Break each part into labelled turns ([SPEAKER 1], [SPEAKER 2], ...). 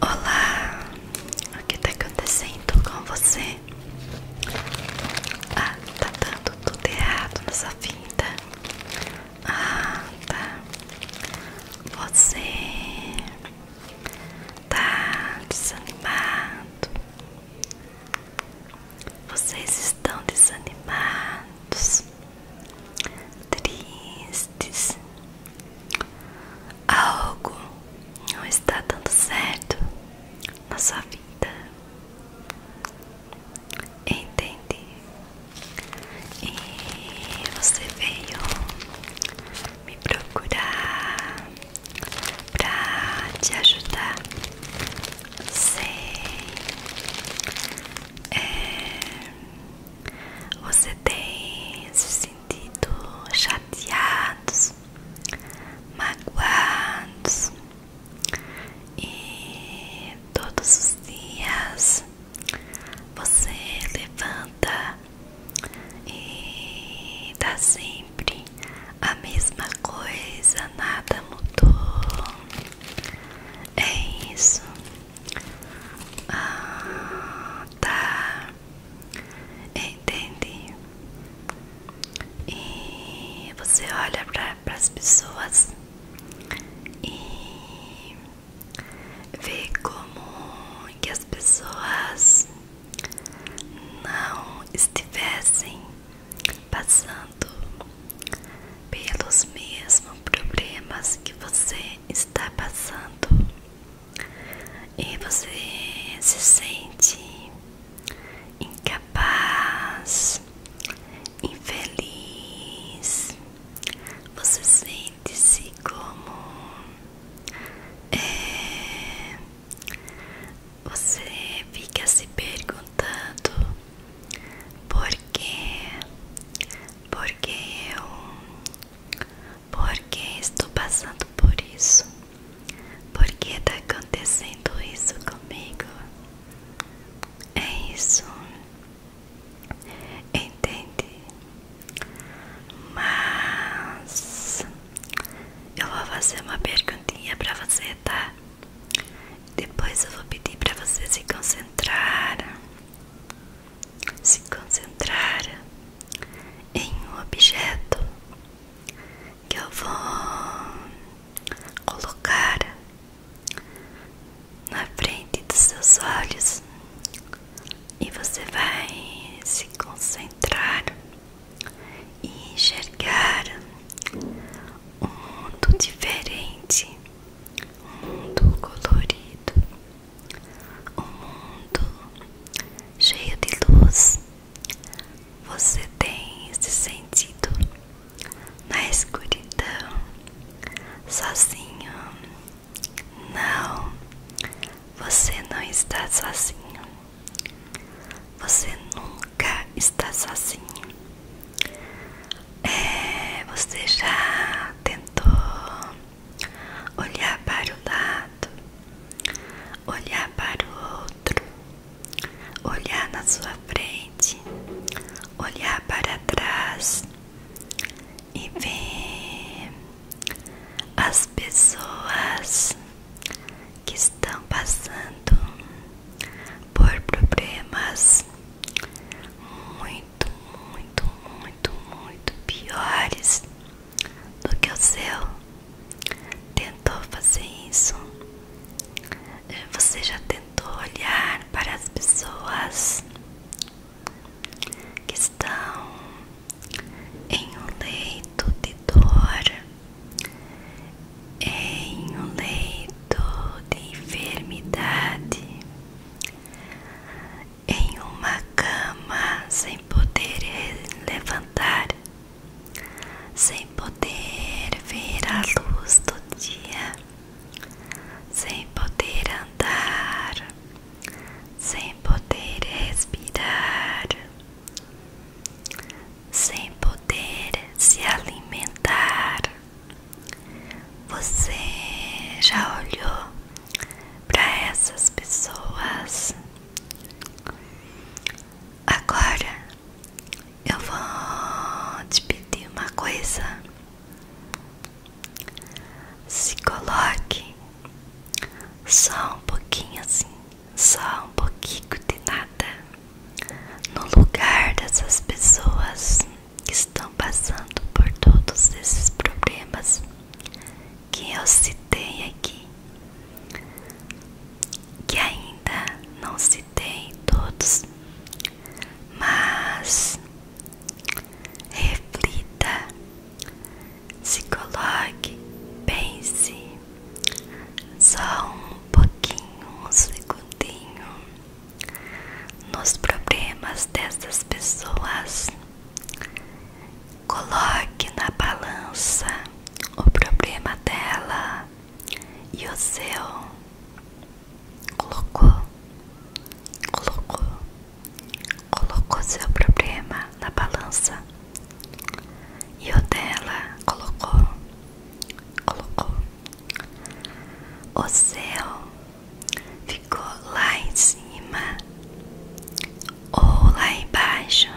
[SPEAKER 1] Olá, o que está acontecendo com você? Ah, tá dando tudo errado nessa vinda. Ah, tá. Você tá desanimado. Vocês estão desanimados, tristes. Algo não está dando certo na sua vida. Entendi. E você veio me procurar para te ajudar Sei. É, você tem se sentido chateados, magoados e todos os dias você levanta e dá assim sempre a mesma coisa, nada mudou. É isso. Ah, tá. Entendi. E você olha para as pessoas e vê como que as pessoas não estivessem passando pelos mesmos problemas que você está passando e você se sente incapaz, infeliz, você sente-se como é, você fica se perguntando por quê? Por que eu? Por que estou passando por isso? Por que está acontecendo isso comigo? É isso. Entende? Mas eu vou fazer uma perguntinha para você, tá? Depois eu vou pedir para você se concentrar, se concentrar em um objeto que eu vou colocar na frente dos seus olhos e você vai se concentrar e enxergar um mundo diferente, um mundo colorido, um mundo cheio de luz. Você tem esse sentido na escuridão, sozinho. Não, você não está sozinho. Você nunca está sozinho. É, você já tentou olhar para o lado, olhar para o outro, olhar na sua frente, olhar para trás e ver as pessoas que estão passando por problemas muito, muito, muito, muito piores do que o seu. Tentou fazer isso? Eh, você já tentou olhar para as pessoas que estão em um leito de dor? em um leito de enfermidade, em uma cama sem poder levantar, sem poder ver a luz do dia, sem poder andar, sem poder respirar sem poder se alimentar. Você já olhou para essas pessoas? Agora eu vou te pedir uma coisa. Se coloque só um pouquinho assim só um pouquinho de nada no lugar dessas pessoas que estão passando por todos esses problemas que eu citei aqui, que ainda não citei todos, mas reflita, se coloque, pense só um pouquinho, um segundinho nos problemas dessas pessoas. Coloque na balança o problema dela e o seu. Colocou, colocou, colocou seu problema na balança. E o dela colocou, colocou. O céu ficou lá em cima ou lá embaixo.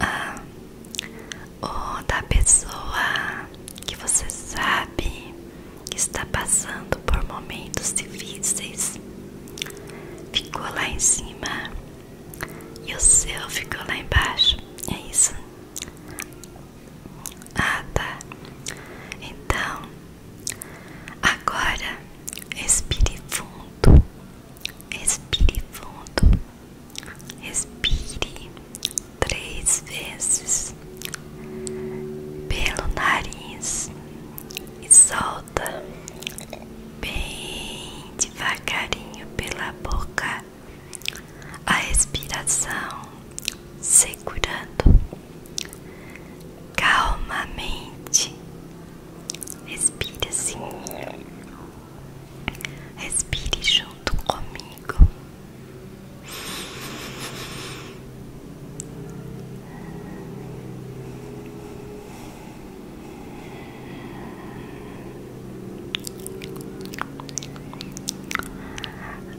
[SPEAKER 1] Ah, ou da pessoa que você sabe que está passando por momentos difíceis. Ficou lá em cima e o céu ficou lá embaixo. É isso? Ah, tá. Então, agora respire fundo. Respire fundo. Respire três vezes pelo nariz e solte solta bem devagarinho pela boca a respiração, segurando calmamente. Respire assim, respire junto comigo.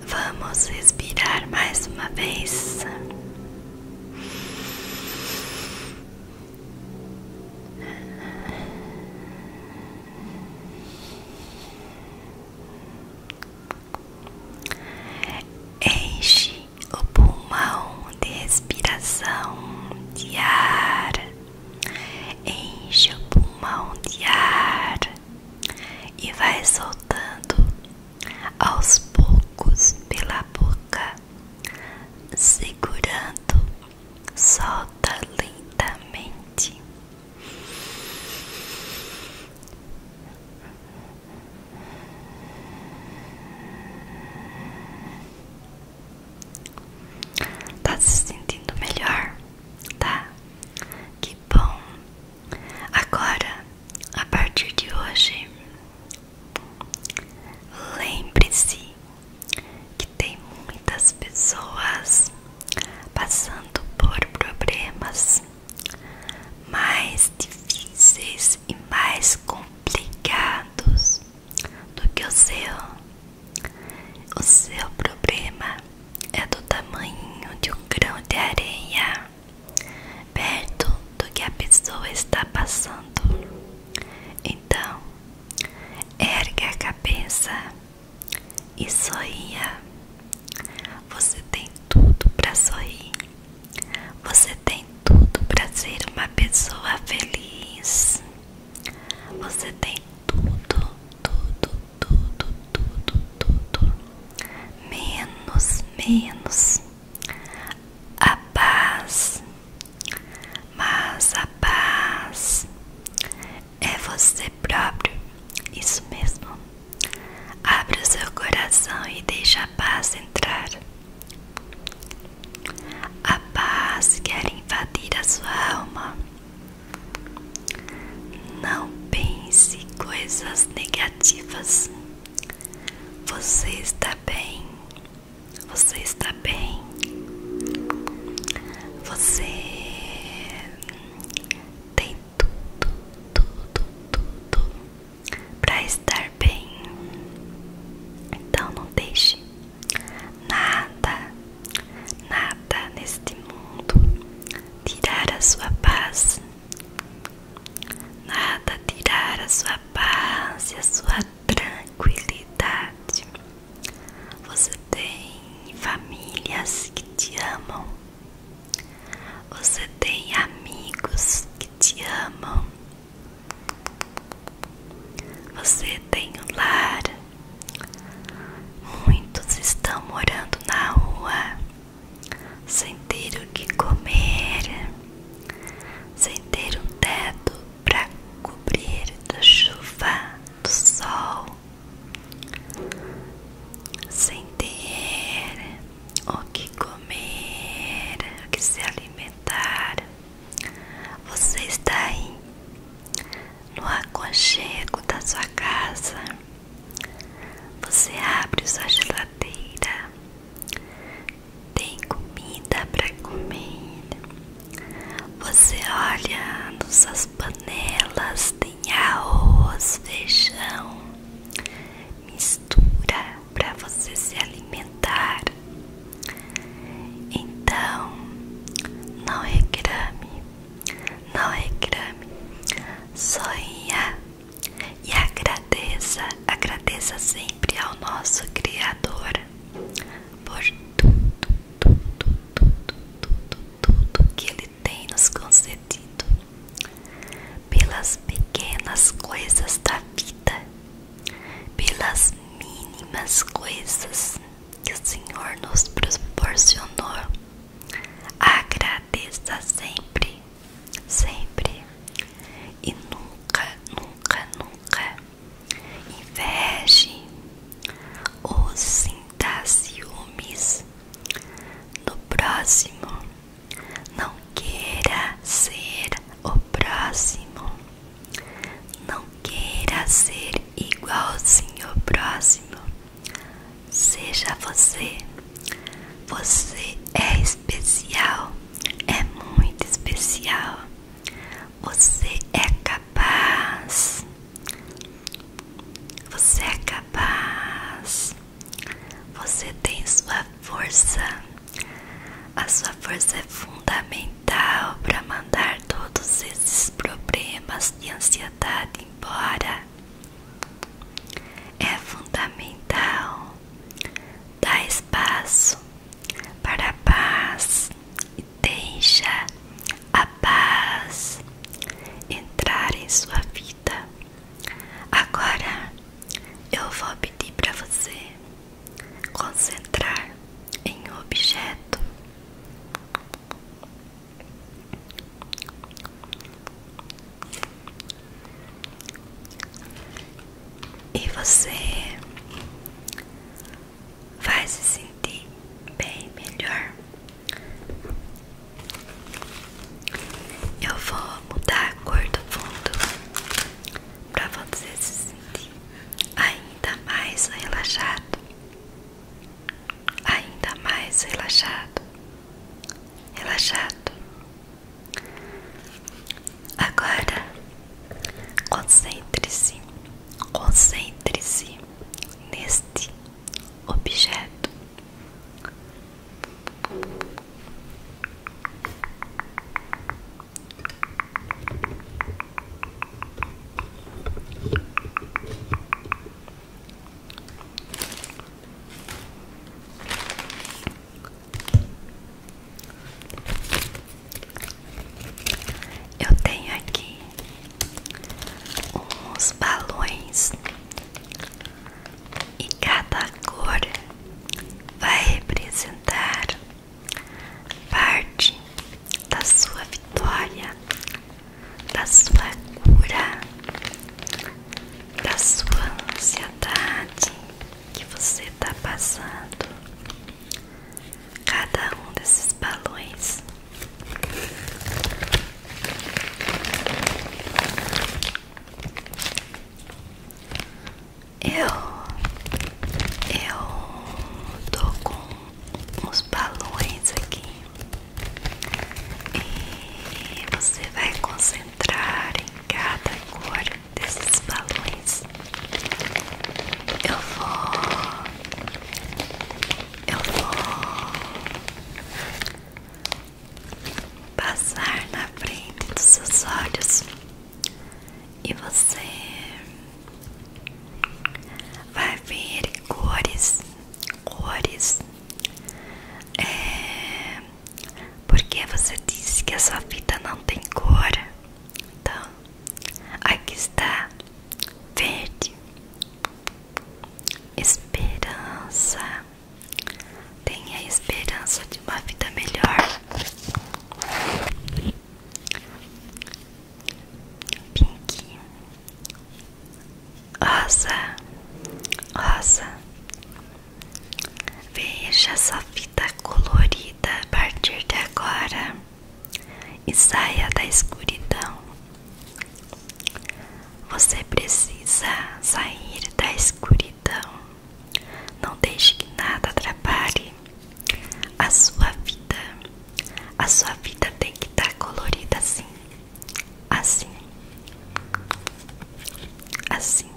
[SPEAKER 1] Vamos respirar mais uma vez. Enche o pulmão de respiração de ar, enche o pulmão de ar e vai soltando aos poucos pela boca, segurando, solta lentamente. Tá se sentindo melhor? Tá? Que bom! Agora, a partir de hoje, lembre-se que tem muitas pessoas passando por problemas mais difíceis e mais complicados do que o seu. O seu problema é do tamanho de um grão de areia, perto do que a pessoa está passando. Então, ergue a cabeça e sorria. Você tem tudo para sorrir. Você tem tudo para ser uma pessoa feliz. Você tem tudo, tudo, tudo, tudo, tudo. Menos, menos a paz. Mas a paz é você próprio. Isso mesmo. Abra o seu coração e deixe a paz entrar. A paz quer invadir a sua alma. Não pense coisas negativas. Você está bem. Você está bem. Você tem tudo, tudo, tudo para estar bem. Então não deixe nada, nada neste mundo tirar a sua paz. Nada tirar a sua paz e a sua tranquilidade. Você tem famílias que te amam. Você tem amigos que te amam. Você tem um lar. Muitos estão morando na rua, sem ter o que comer, sem ter um teto para cobrir da chuva, do sol, sem ter o que comer, o que se alimentar. Você está aí no aconchego da sua casa. Você abre sua geladeira. Tem comida para comer. Você olha nas suas panelas, tem arroz, feijão, mistura para você se alimentar. Então, não reclame, não reclame, sonha e agradeça, agradeça sempre ao nosso Criador por tudo, tudo, tudo, tudo, tudo que Ele tem nos concedido, pelas pequenas coisas da vida pelas mínimas coisas que o Senhor nos proporcionou. Agradeça sempre, sempre e nunca, nunca, nunca inveje ou sinta ciúmes no próximo não queira ser o próximo. Não queira ser igualzinho ao próximo. Seja você. Você é especial. É muito especial. Você é capaz. Você é capaz. Você tem sua força. A sua força é fundamental para mandar todos esses problemas de ansiedade embora. É fundamental dar espaço para a paz e deixa a paz entrar em sua vida. Agora eu vou pedir para você concentrar em um objeto. E você vai se sentir bem melhor eu vou mudar a cor do fundo para você se sentir ainda mais relaxado, ainda mais relaxado, relaxado. Agora concentre-se, concentre-se neste objeto. Eu tenho aqui uns balões e cada cor vai representar parte da sua vitória, da sua cura, da sua ansiedade que você está passando. Cada um desses balões. Eu, eu tô com uns balões aqui e você vai concentrar em cada cor desses balões. Eu vou, eu vou passar na frente dos seus olhos e você vai ver cores, cores. É... Porque você disse que a sua vida não tem cor. Então, aqui está verde, esperança, Tenha esperança de uma vida melhor. Pink, rosa, rosa. Veja essa fita colorida a partir de agora e saia da escuridão. Você precisa sair da escuridão vida. Não deixe que nada atrapalhe a sua vida. A sua vida tem que estar tá colorida assim, assim, assim.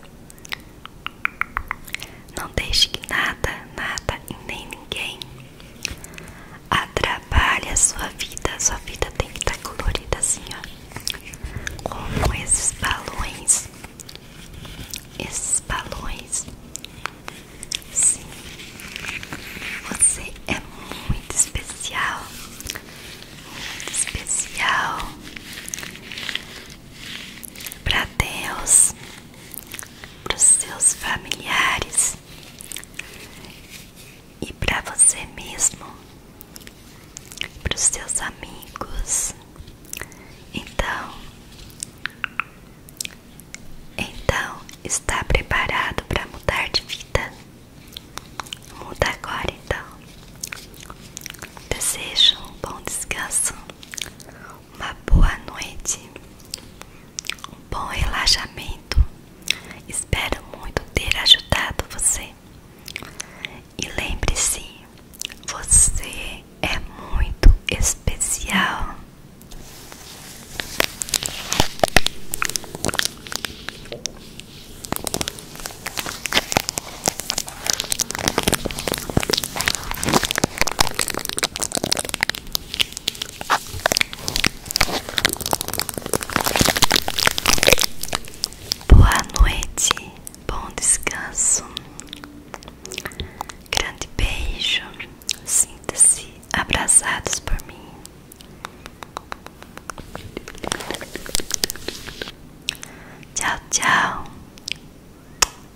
[SPEAKER 1] Não deixe que nada, nada e nem ninguém atrapalhe a sua vida. A sua vida tem que estar tá colorida assim, ó como esses balões, esses balões. Sim, você é muito especial, muito especial para Deus, para os seus familiares e para você mesmo para os seus amigos. Então, então está preparado para mudar de vida? Muda agora então. Desejo um bom descanso, uma boa noite, um bom relaxamento. Espero muito ter ajudado você. E lembre-se, você é muito especial. Boa noite, bom descanso. Grande beijo. Sinta-se abraçados por mim. Tchau, tchau.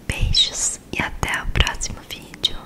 [SPEAKER 1] Beijos e até o próximo vídeo.